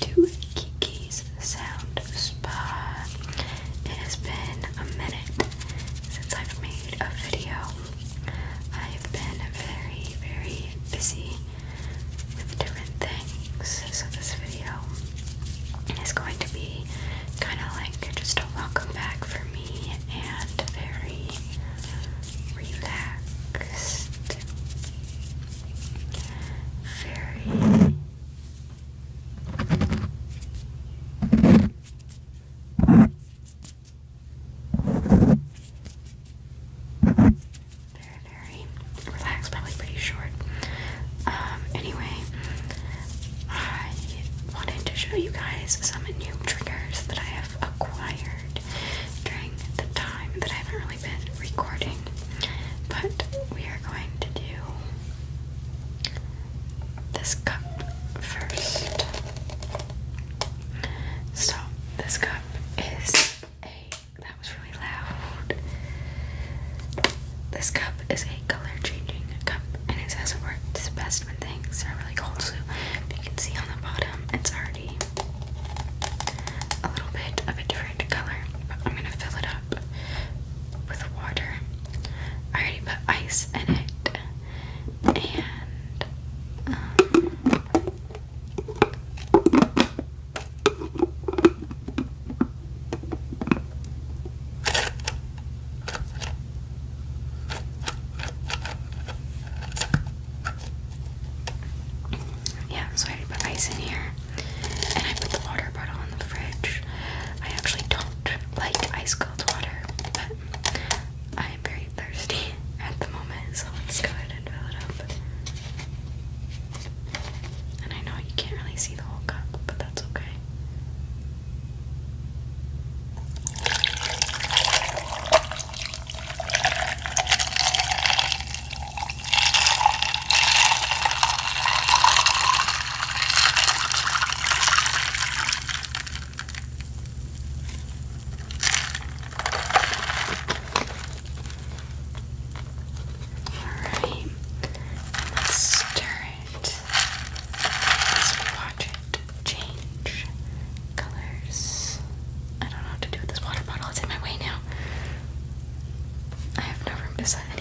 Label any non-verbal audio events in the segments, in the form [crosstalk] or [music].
to Kiki's Sound Spa. It has been a minute since I've made a video. I've been very, very busy with different things, so this video is going to be kind of like just a welcome back for me and very relaxed very very, relaxed, probably pretty short. Um, anyway, I wanted to show you guys some new triggers that I have acquired during the time that I haven't really been recording, but we are going to do this cup first. So, this cup is a. That was really loud. This cup is a color changing cup, and it says it the best when things are really cold. So, if you can see on the bottom, it's our a little bit of a different color, I'm gonna fill it up with water. I already put ice in it, and um, yeah, so I had to put ice in here. And I put the water bottle in the fridge. I actually don't like ice cold water, but I am very thirsty [laughs] at the moment, so let's go ahead and fill it up. And I know you can't really see the whole cup, but that's okay. Alright, let's stir it. Let's watch it change colors. I don't know what to do with this water bottle. It's in my way now. I have no room to set anything.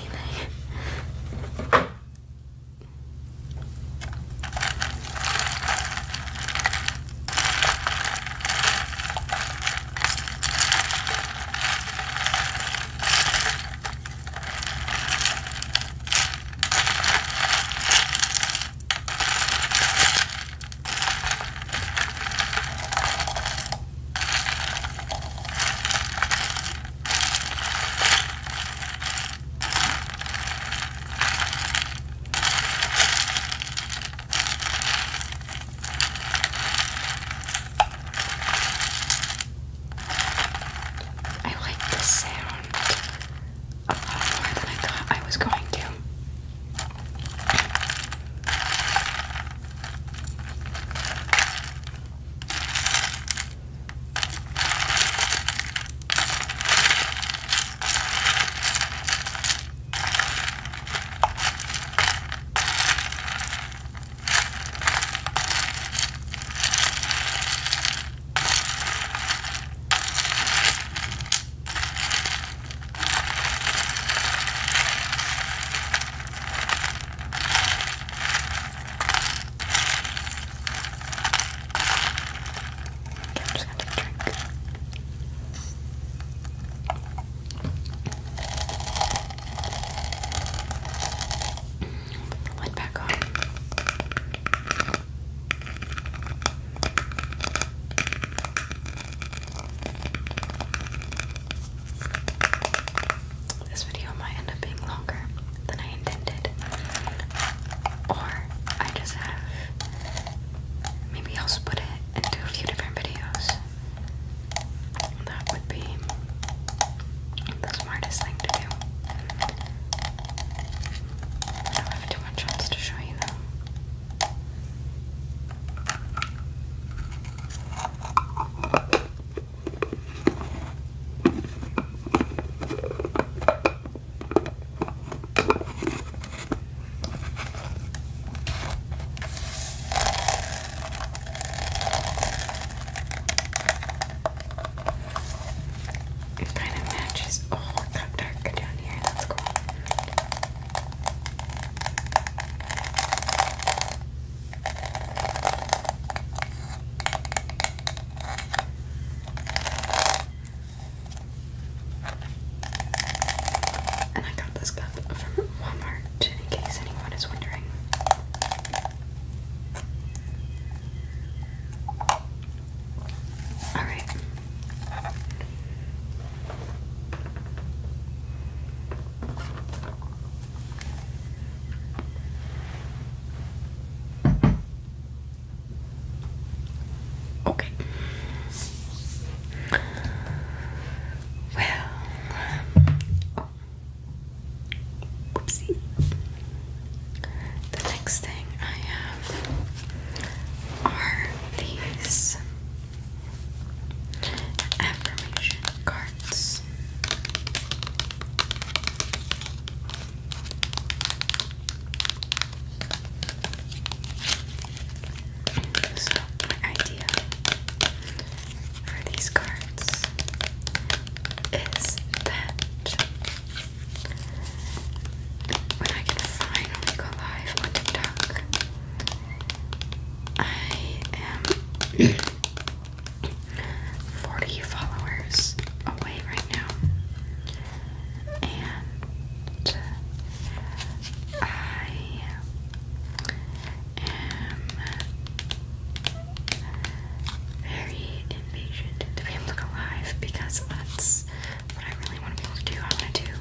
I like the sound a lot more than I thought I was going to. Okay, I'm just gonna take a drink. Put the lid back on. This video might end up being longer than I intended, or I just have maybe I'll split it into a few different videos. That would be the smartest thing to do. I don't have to I a chance to show you them. It kind of matches. Oh, it got darker down here. That's cool. And I got this cup from Walmart in case anyone is wondering. All right. Okay. Well, oh, whoopsie. The next thing I have are these affirmation cards. So, my idea for these cards is that when I get fine when go live on TikTok. I am [clears throat] 40 followers away right now. And I am very to be able to live because that's what I really want to be able to do. I want to do,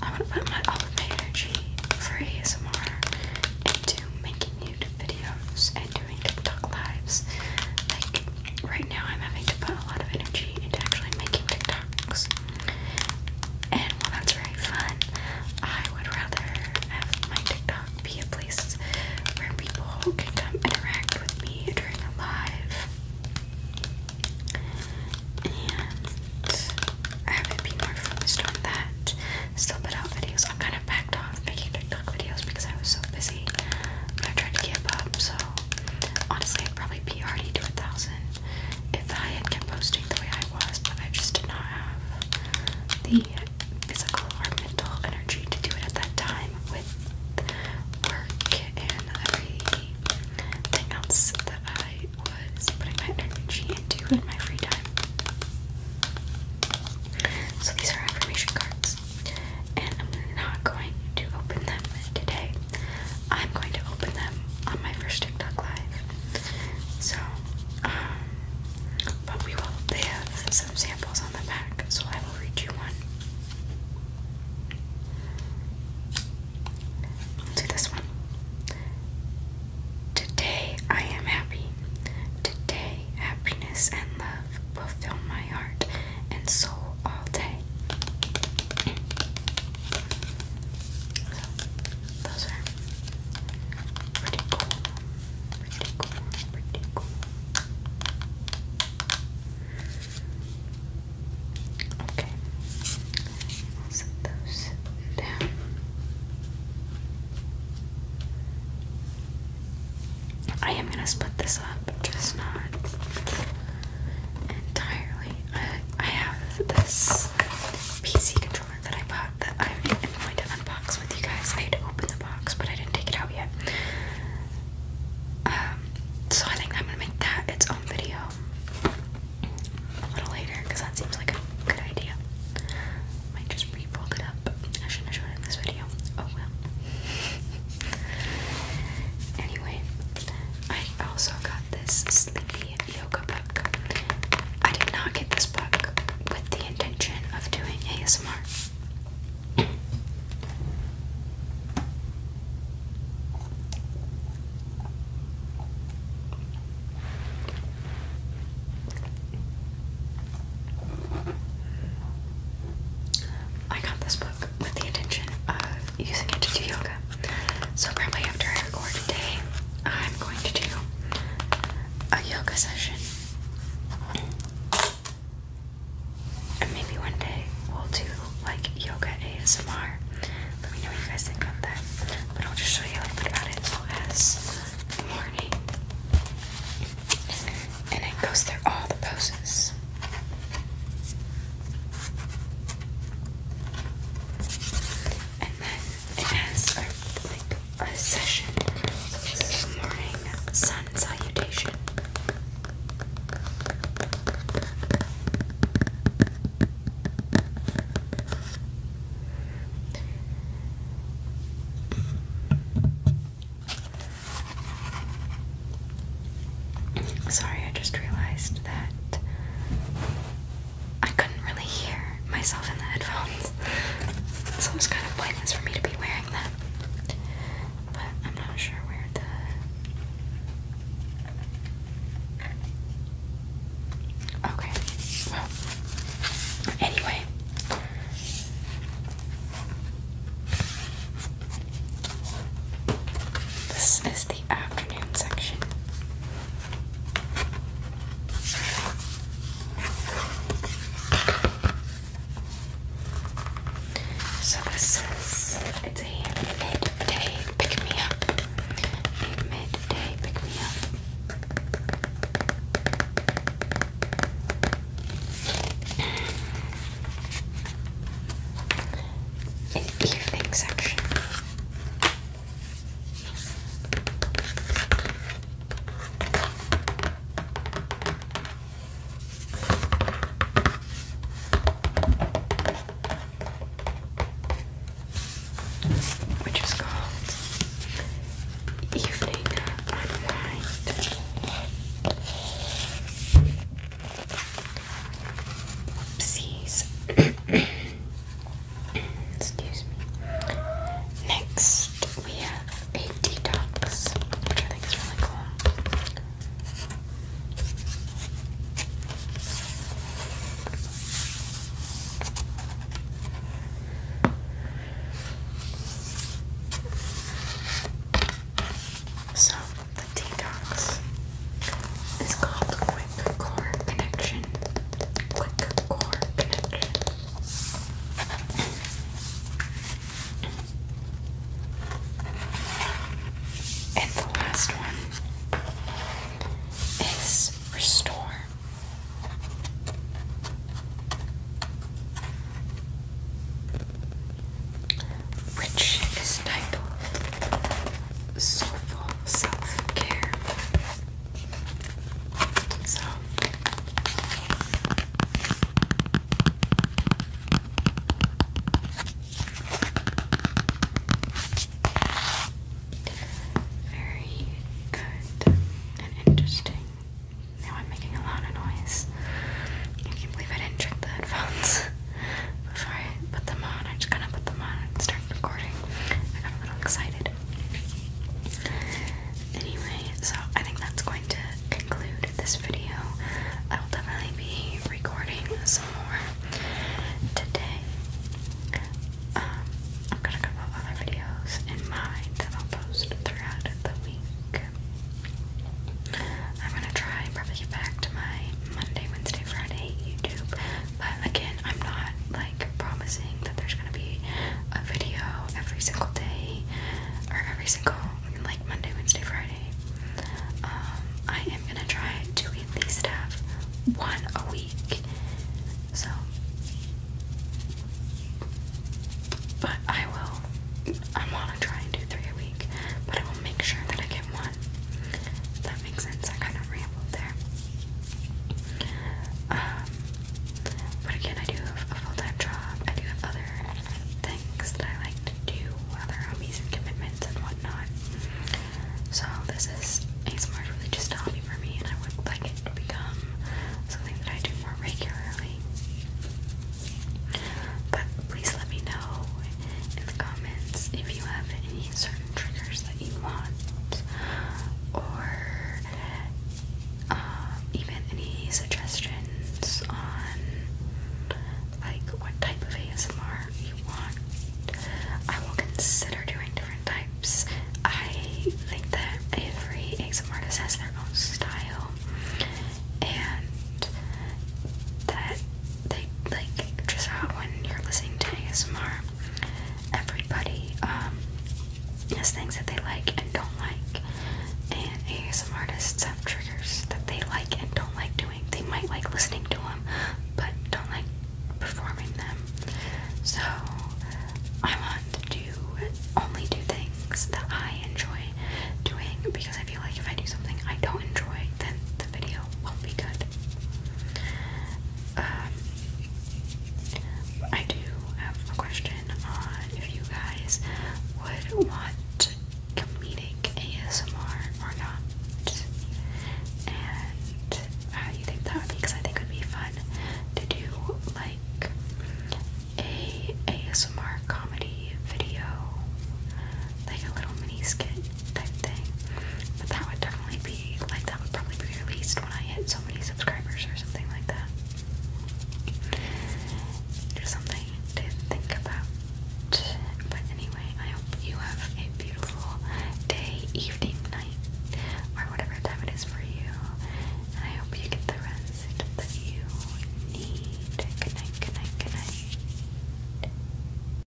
I want to put my, all of my energy for ASMR into making YouTube videos and doing TikTok lives. Like, right now I'm having to put a lot of energy into actually making TikToks. And while that's very fun, I would rather have my TikTok be a place where people can come interact with me during a live. And I haven't been more focused on that. Still put out videos. I'm kind of backed off making TikTok videos because I was so busy. But I tried to give up, so honestly, I'd probably be already to a thousand if I had kept posting the way I was, but I just did not have the physical or mental energy to do it at that time with work and everything else that I was putting my energy into in my free time. So these are affirmation cards, and I'm not going to open them today. I'm going to open them on my first TikTok live. So, um, but we will. They some samples on the back, so I will read you one. I'll do this one. Today I am happy. Today happiness and love will fill my heart and soul all day. those are pretty cool. Okay, set those down. I am gonna split this up, just not entirely. I, have this PC controller that I bought that I am going to unbox with you guys. I had to open box, but I didn't take it out yet. Um, so I think I'm gonna make that its own video a little later because that seems like a good idea. Might just re-roll it up. I shouldn't have shown it in this video. Oh well. [laughs] anyway, I also got this sleepy yoga book. I did not get this book with the intention of doing ASMR. I got this book with the intention of using it to do yoga. So, probably after I record today, I'm going to do a yoga session and maybe one day we'll do like yoga ASMR. Let me know what you guys think about that. But I'll just show you a little bit about it as morning. And it goes through all the poses. And then it has like a session. this is morning sun salutation. Sorry, I just realized that I couldn't really hear myself in the headphones. It's it kind of pointless for me to be wearing them. But I'm not sure where the Okay. Well anyway. This is the afternoon section. So this is it's a midday pick me up. midday pick me up. An evening section which is called Evening Unwind. Oopsies. Excuse me. Next, we have a detox, which I think is really cool. So, the detox is called Quick Core Connection. Quick and the last one is restore. Which is type soulful self care. So very good and interesting. Now I'm making a lot of noise. I can't believe I didn't check the headphones [laughs] before I put them on. I just kind of put them on and start recording. I got a little excited. Anyway, so I think that's going to conclude this video. I will definitely be recording some more today. Um, I've got a couple other videos in mind that post throughout the week. I'm gonna try and probably get back to my Monday, Wednesday, Friday YouTube but again, I'm not like promising that there's gonna be a video every single day or every single like Monday, Wednesday, Friday. Um, I am gonna try to at least have one a week. So, but I will. I wanna try and do three a week, but I will make sure that I get one makes sense. I kind of rambled there. Um, but again, I do a full-time job. I do have other things that I like to do, other hobbies and commitments and whatnot. So this is ASMR is really just a hobby for me, and I would like it to become something that I do more regularly. But please let me know in the comments if you have any certain triggers that you want, or um, even any suggestions on like what type of ASMR you want. I will consider doing different types. I think that every ASMR artist has their own style, and that they like just how when you're listening to ASMR, everybody um, has things that they like and don't like, and some artists have triggers that they like and don't like doing. They might like listening to them, but don't like performing them. So I want to do, only do things that I enjoy doing because I feel like if I do something I don't enjoy, then the video will be good. Um, I do have a question on if you guys would want comedic ASMR or not, and how you think that would be, because I think it would be fun to do like a ASMR comedy video like a little mini skit type thing. But that would definitely be like that would probably be released when I hit so many subscribers or something like that. Just something to think about. But anyway, I hope you have a beautiful day, evening, night, or whatever time it is for you. I hope you get the rest that you need. Good night, good night, good night.